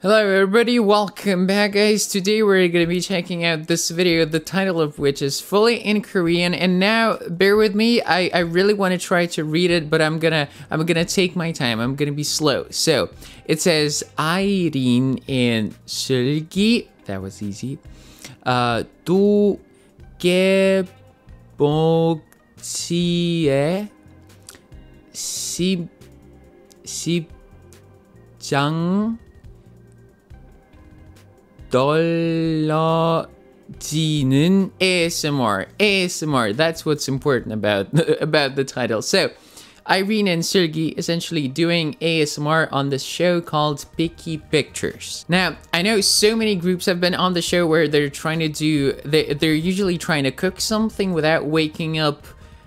Hello everybody, welcome back guys. Today we're going to be checking out this video, the title of which is fully in Korean. And now, bear with me, I, I really want to try to read it, but I'm gonna I'm gonna take my time, I'm gonna be slow. So, it says, Irene and Sergi, that was easy, uh, 두 개봉지에 Shanghai, Xi, Xijang, Dolojinin ASMR. ASMR. That's what's important about about the title. So, Irene and Sergey essentially doing ASMR on this show called Picky Pictures. Now, I know so many groups have been on the show where they're trying to do, they, they're usually trying to cook something without waking up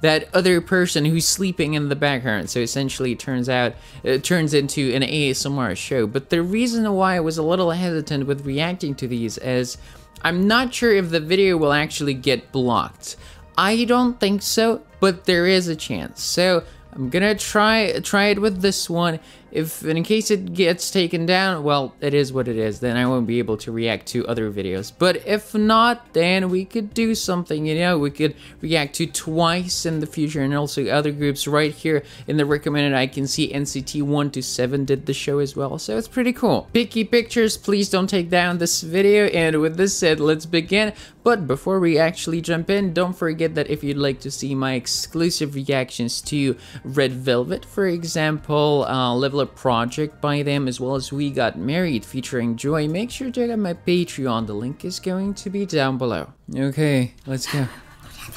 that other person who's sleeping in the background. So essentially, it turns out it turns into an ASMR show. But the reason why I was a little hesitant with reacting to these is I'm not sure if the video will actually get blocked. I don't think so, but there is a chance. So I'm gonna try try it with this one. If in case it gets taken down, well, it is what it is. Then I won't be able to react to other videos. But if not, then we could do something, you know, we could react to twice in the future and also other groups right here in the recommended. I can see NCT 1 to 7 did the show as well, so it's pretty cool. Picky pictures, please don't take down this video. And with this said, let's begin. But before we actually jump in, don't forget that if you'd like to see my exclusive reactions to Red Velvet, for example, uh, Level Up Project, by them as well as We Got Married featuring Joy, make sure to check out my Patreon. The link is going to be down below. Okay, let's go.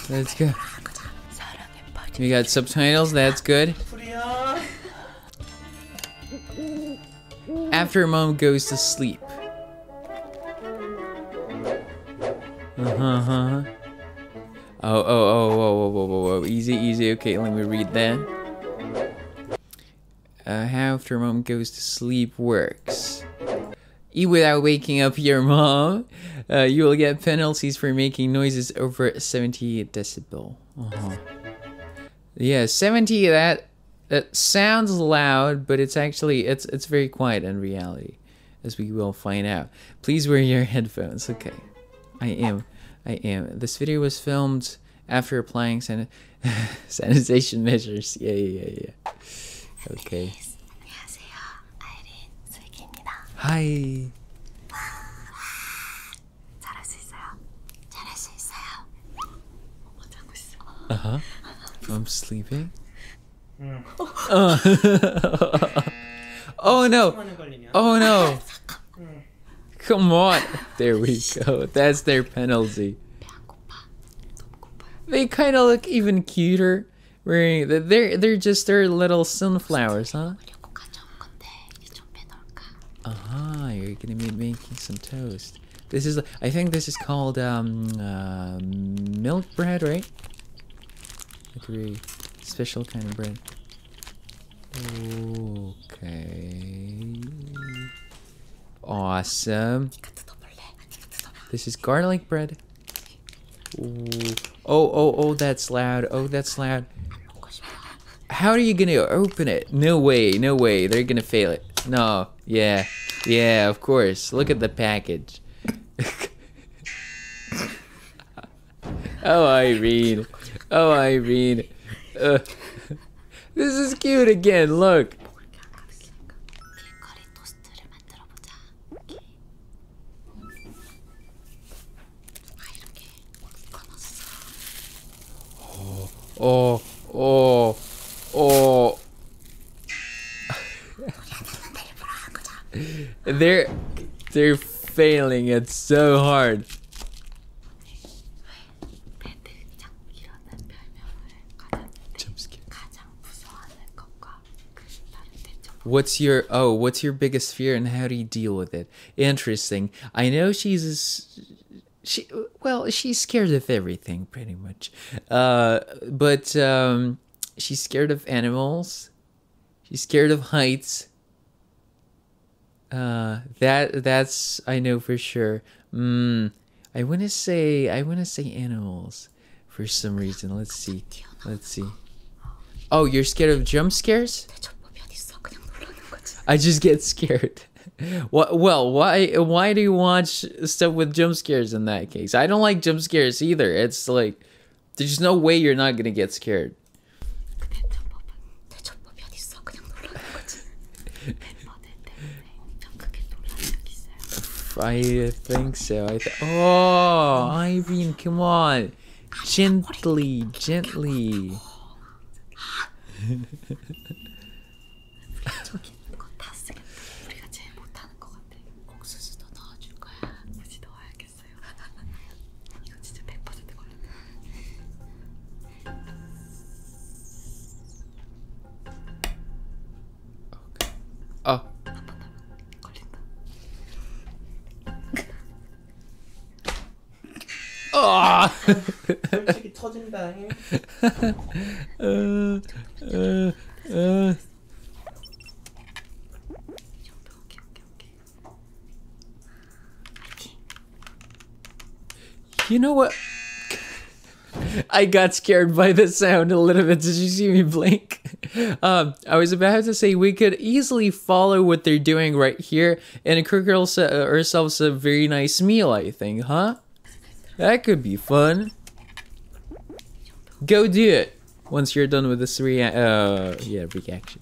Let's go. We got subtitles, that's good. After mom goes to sleep. Uh-huh. uh-huh. Oh, oh, oh, oh, oh, oh, oh, oh, easy, easy. Okay, let me read that how after mom goes to sleep works. Eat without waking up your mom. Uh, you will get penalties for making noises over 70 decibel. Uh-huh. Yeah, 70 that that sounds loud, but it's actually it's it's very quiet in reality, as we will find out. Please wear your headphones. Okay, I am, I am. This video was filmed after applying san sanitization measures. Yeah, yeah, yeah, yeah. Okay. Hi. Uh huh. I'm sleeping. Mm. oh no! Oh no! Mm. Come on. There we go. That's their penalty. They kind of look even cuter wearing they're they're just their little sunflowers, huh? Ah, uh -huh, you're gonna be making some toast. This is I think this is called um, um milk bread, right? Like a special kind of bread. Okay. Awesome. This is garlic bread. Oh, oh, oh, that's loud. Oh, that's loud. How are you gonna open it? No way, no way. They're gonna fail it. No, yeah, yeah, of course. Look at the package. oh, Irene. Oh, Irene. Uh, this is cute again. Look. Oh, oh, oh, oh. they're they're failing it so hard. What's your oh? What's your biggest fear and how do you deal with it? Interesting. I know she's she well she's scared of everything pretty much, uh, but um, she's scared of animals. She's scared of heights. Uh, that that's I know for sure. Mm, I want to say I want to say animals, for some reason. Let's see. Let's see. Oh, you're scared of jump scares? I just get scared. What? Well, why? Why do you watch stuff with jump scares in that case? I don't like jump scares either. It's like there's no way you're not gonna get scared. 그 대처법은 대처법이 어딨어? 그냥 놀라는 거지. 멤버들 때문에 엄청 크게 놀란 적 있어요. I think so. I th oh, Iveen, come on. Gently, gently. 우리가 저기 있는 거다 쓰겠다. 우리가 제일 못하는 거 같아. 옥수수도 넣어줄 거야. 굳이 넣어야겠어요. 이거 진짜 100% 걸렸다. 오케이. 아. 한번 더. 걸린다. 아. 솔직히 터진다. 으. 으. 으. 이 정도 오케이 오케이 오케이. You know what? I got scared by the sound a little bit. Did you see me blink? Um, I was about to say we could easily follow what they're doing right here and cook uh, ourselves a very nice meal, I think, huh? That could be fun. Go do it once you're done with this rea uh, yeah, reaction.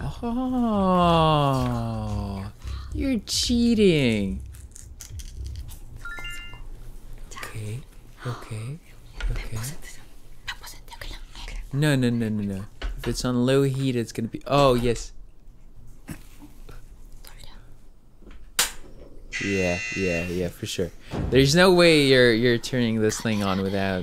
Oh, you're cheating. Okay, okay, okay. No, no, no, no, no. If it's on low heat, it's gonna be. Oh, yes. Yeah, yeah, yeah, for sure. There's no way you're you're turning this thing on without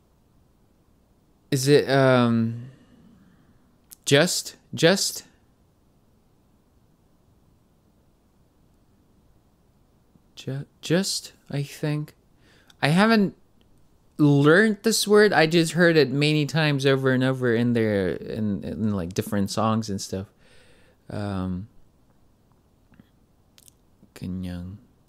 Is it um just just just I think I haven't learned this word. I just heard it many times over and over in there in, like different songs and stuff. Um, Kenyang.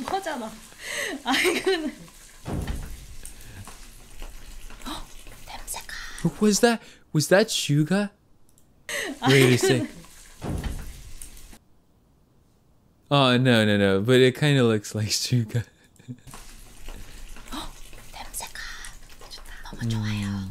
이거잖아. 아 이거는. 냄새가. Was that was that Suga? Wait a sec. Oh no no no! But it kind of looks like Suga. 냄새가 좋다. 너무 좋아요.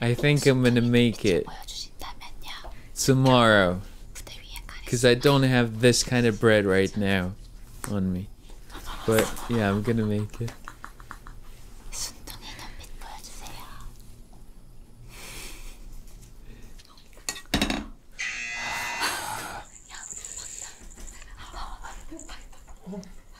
I think I'm gonna make it tomorrow. Because I don't have this kind of bread right now on me. But yeah, I'm gonna make it.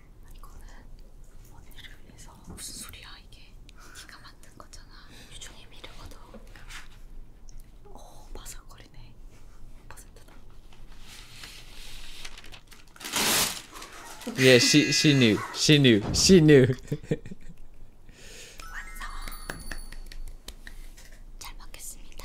이거는 언니를 위해서 무슨 소리야 이게? 네가 만든 거잖아. 유종의 미래거든. 오 바삭거리네. 100%다. Yeah, she she knew. She knew. She knew. 완성. 잘 먹겠습니다.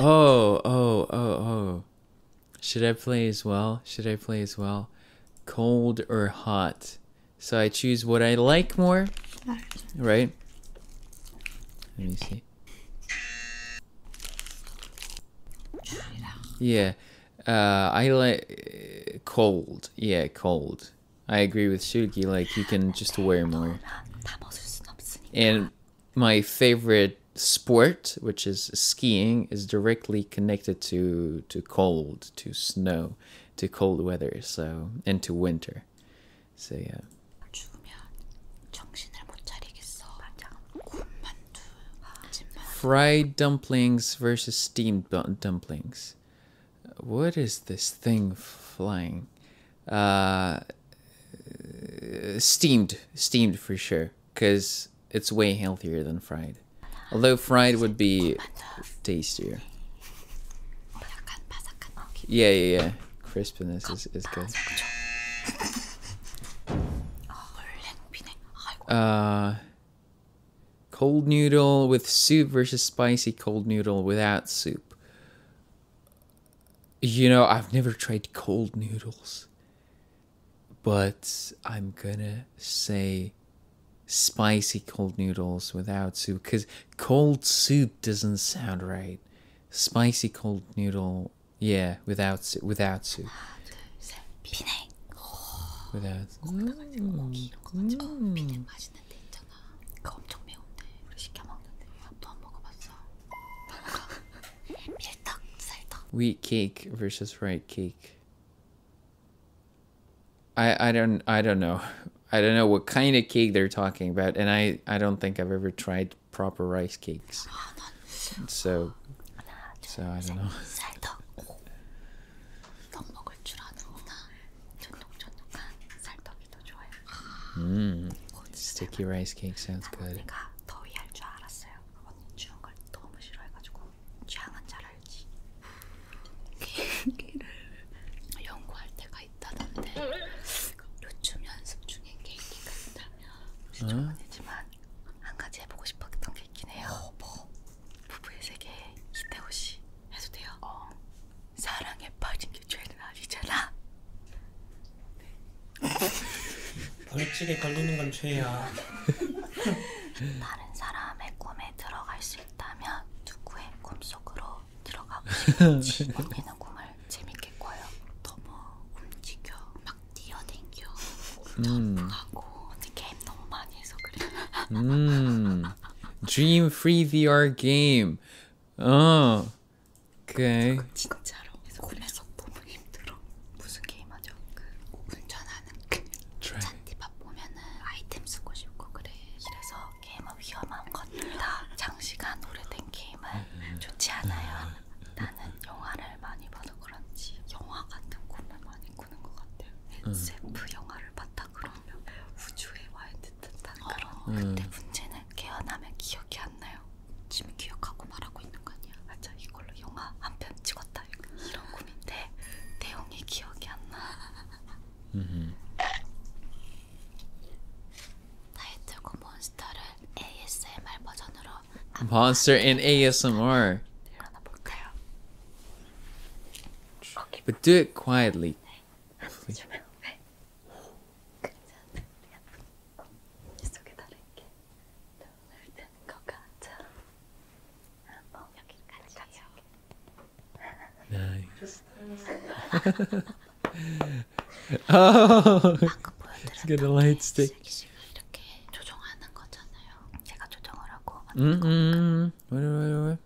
Oh, oh, oh, oh. Should I play as well? Should I play as well? Cold or hot? So I choose what I like more, right? Let me see. Yeah. Uh, I like uh, cold. Yeah, cold. I agree with Shugi. Like you can just wear more. And my favorite sport, which is skiing, is directly connected to to cold, to snow, to cold weather. So and to winter. So yeah. Fried dumplings versus steamed dumplings. What is this thing flying? Uh, steamed, steamed for sure, because it's way healthier than fried. Although fried would be tastier. Yeah, yeah, yeah. Crispiness is, is good. Uh, Cold noodle with soup versus spicy cold noodle without soup. You know, I've never tried cold noodles. But I'm gonna say spicy cold noodles without soup because cold soup doesn't sound right. Spicy cold noodle, yeah, without without soup. Ah, Wheat cake versus rice cake. I I don't I don't know. I don't know what kind of cake they're talking about, and I I don't think I've ever tried proper rice cakes. So so I don't know. 떡 먹을 줄 아는구나. 쫀득쫀득한 쌀떡이 더 좋아요. 음, sticky rice cake sounds good. 내가 더위할 줄 알았어요. 언니 추운 걸 너무 싫어해가지고 취향은 잘 알지. 개인기를 연구할 때가 있다던데 요즘 연습 중에 개인기가 있다면 무시조건이지만 어? 한 가지 해보고 싶었던 게 있긴 해요. 뭐? 부부의 세계 이태호 씨 해도 돼요? 어. 사랑에 빠진 게 죄는 아니잖아. 네. 벌칙에 걸리는 건 죄야. 다른 사람의 꿈에 들어갈 수 있다면 누구의 꿈속으로 들어가고 싶은지 언니는 꿈을 재밌게 꿔요. 너무 뭐 움직여 막 뛰어댕겨 점프하고 음. 어떻게 게임 너무 많이 해서 그래. 음, Dream Free VR Game. 어, 오케이. 진짜로. 그래서 골에서 너무 힘들어. 무슨 게임 하죠? 그 운전하는 그 잔디밭 보면은 아이템 쓰고 싶고 그래. 그래서 게임은 위험한 겁니다. 장시간 오래된 게임은 좋지 않아요. 나는 영화를 많이 봐서 그런지 영화 같은 꿈을 많이 꿈꾸는 것 같아요. 음. SF 아. 음. 영화를 바탕으로 하면 우주에 와 있는 듯한 그런. 어, 근데 음. 문제는 깨어나면 기억이 안 나요. 지금 기억하고 말하고 있는 거 아니야? 맞아. 이걸로 영화 한 편 찍었다. 이런 꿈인데 내용이 기억이 안 나. 음. 타이틀곡 몬스터를 ASMR 버전으로. Monster and ASMR. 들어나 네, 볼까요? But do it quietly. Nice. oh, he's got light stick. 왜왜왜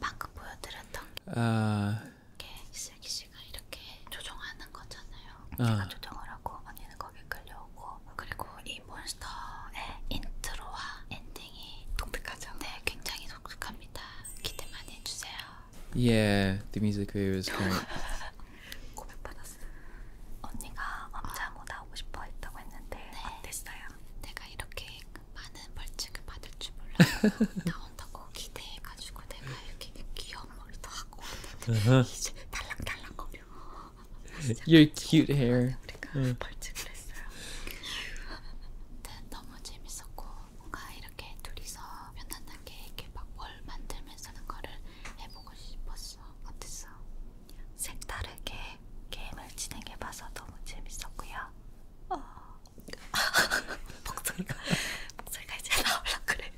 방금 보여드렸던 아... 게 슬기 씨가 이렇게 조종하는 거잖아요. 아. 제가 조종을 하고 언니는 거기 끌려오고 그리고 이 몬스터의 인트로와 엔딩이 독특하죠. 네, 굉장히 독특합니다. 기대 많이 해주세요. Yeah, the music video is great. 고백 받았어. 언니가 엄자모다 하고 싶어 했다고 했는데 네. 어땠어요? 내가 이렇게 많은 벌칙을 받을 줄 몰랐어. 나온다고 기대해가지고 내가 이렇게 귀여운 머리도 하고 왔는데 이제 달랑달랑거려. Your cute hair. 우리가 벌칙을 했어요. 너무 재밌었고 뭔가 이렇게 둘이서 편안하게 이렇게 막뭘 만들면서 하는 거를 해보고 싶었어. 어땠어? 색다르게 게임을 진행해봐서 너무 재밌었고요. 어... 목소리가 목소리가 이제 나올라 그래.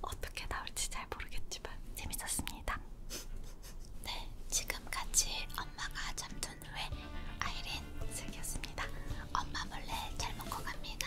어떻게 나올지 잘 모르겠지만 재밌었습니다. 네, 지금까지 엄마가 잠든 후에 아이린 즐겼습니다. 엄마 몰래 잘 먹고 갑니다.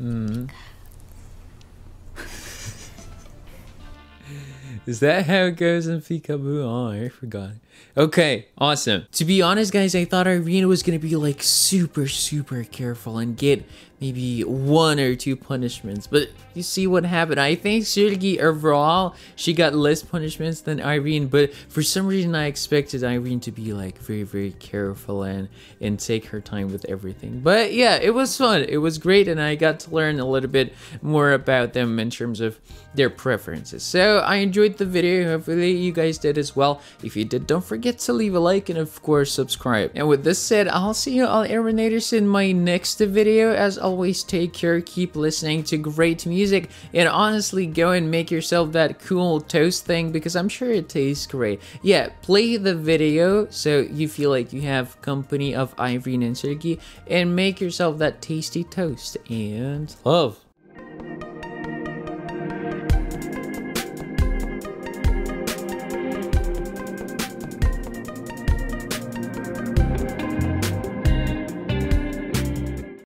Mm-hmm. Is that how it goes in Peekaboo? Oh, I forgot. Okay, awesome. To be honest, guys, I thought Irina was gonna be like super, super careful and get maybe one or two punishments, but you see what happened. I think Shirgi overall, she got less punishments than Irene, but for some reason I expected Irene to be like very, very careful and and take her time with everything. But yeah, it was fun. It was great, and I got to learn a little bit more about them in terms of their preferences. So I enjoyed the video. Hopefully you guys did as well. If you did, don't forget to leave a like and of course subscribe. And with this said, I'll see you all Aeronators in my next video. As always, take care, keep listening to great music, and honestly, go and make yourself that cool toast thing because I'm sure it tastes great. Yeah, play the video so you feel like you have company of Irene and Sergey and make yourself that tasty toast and love.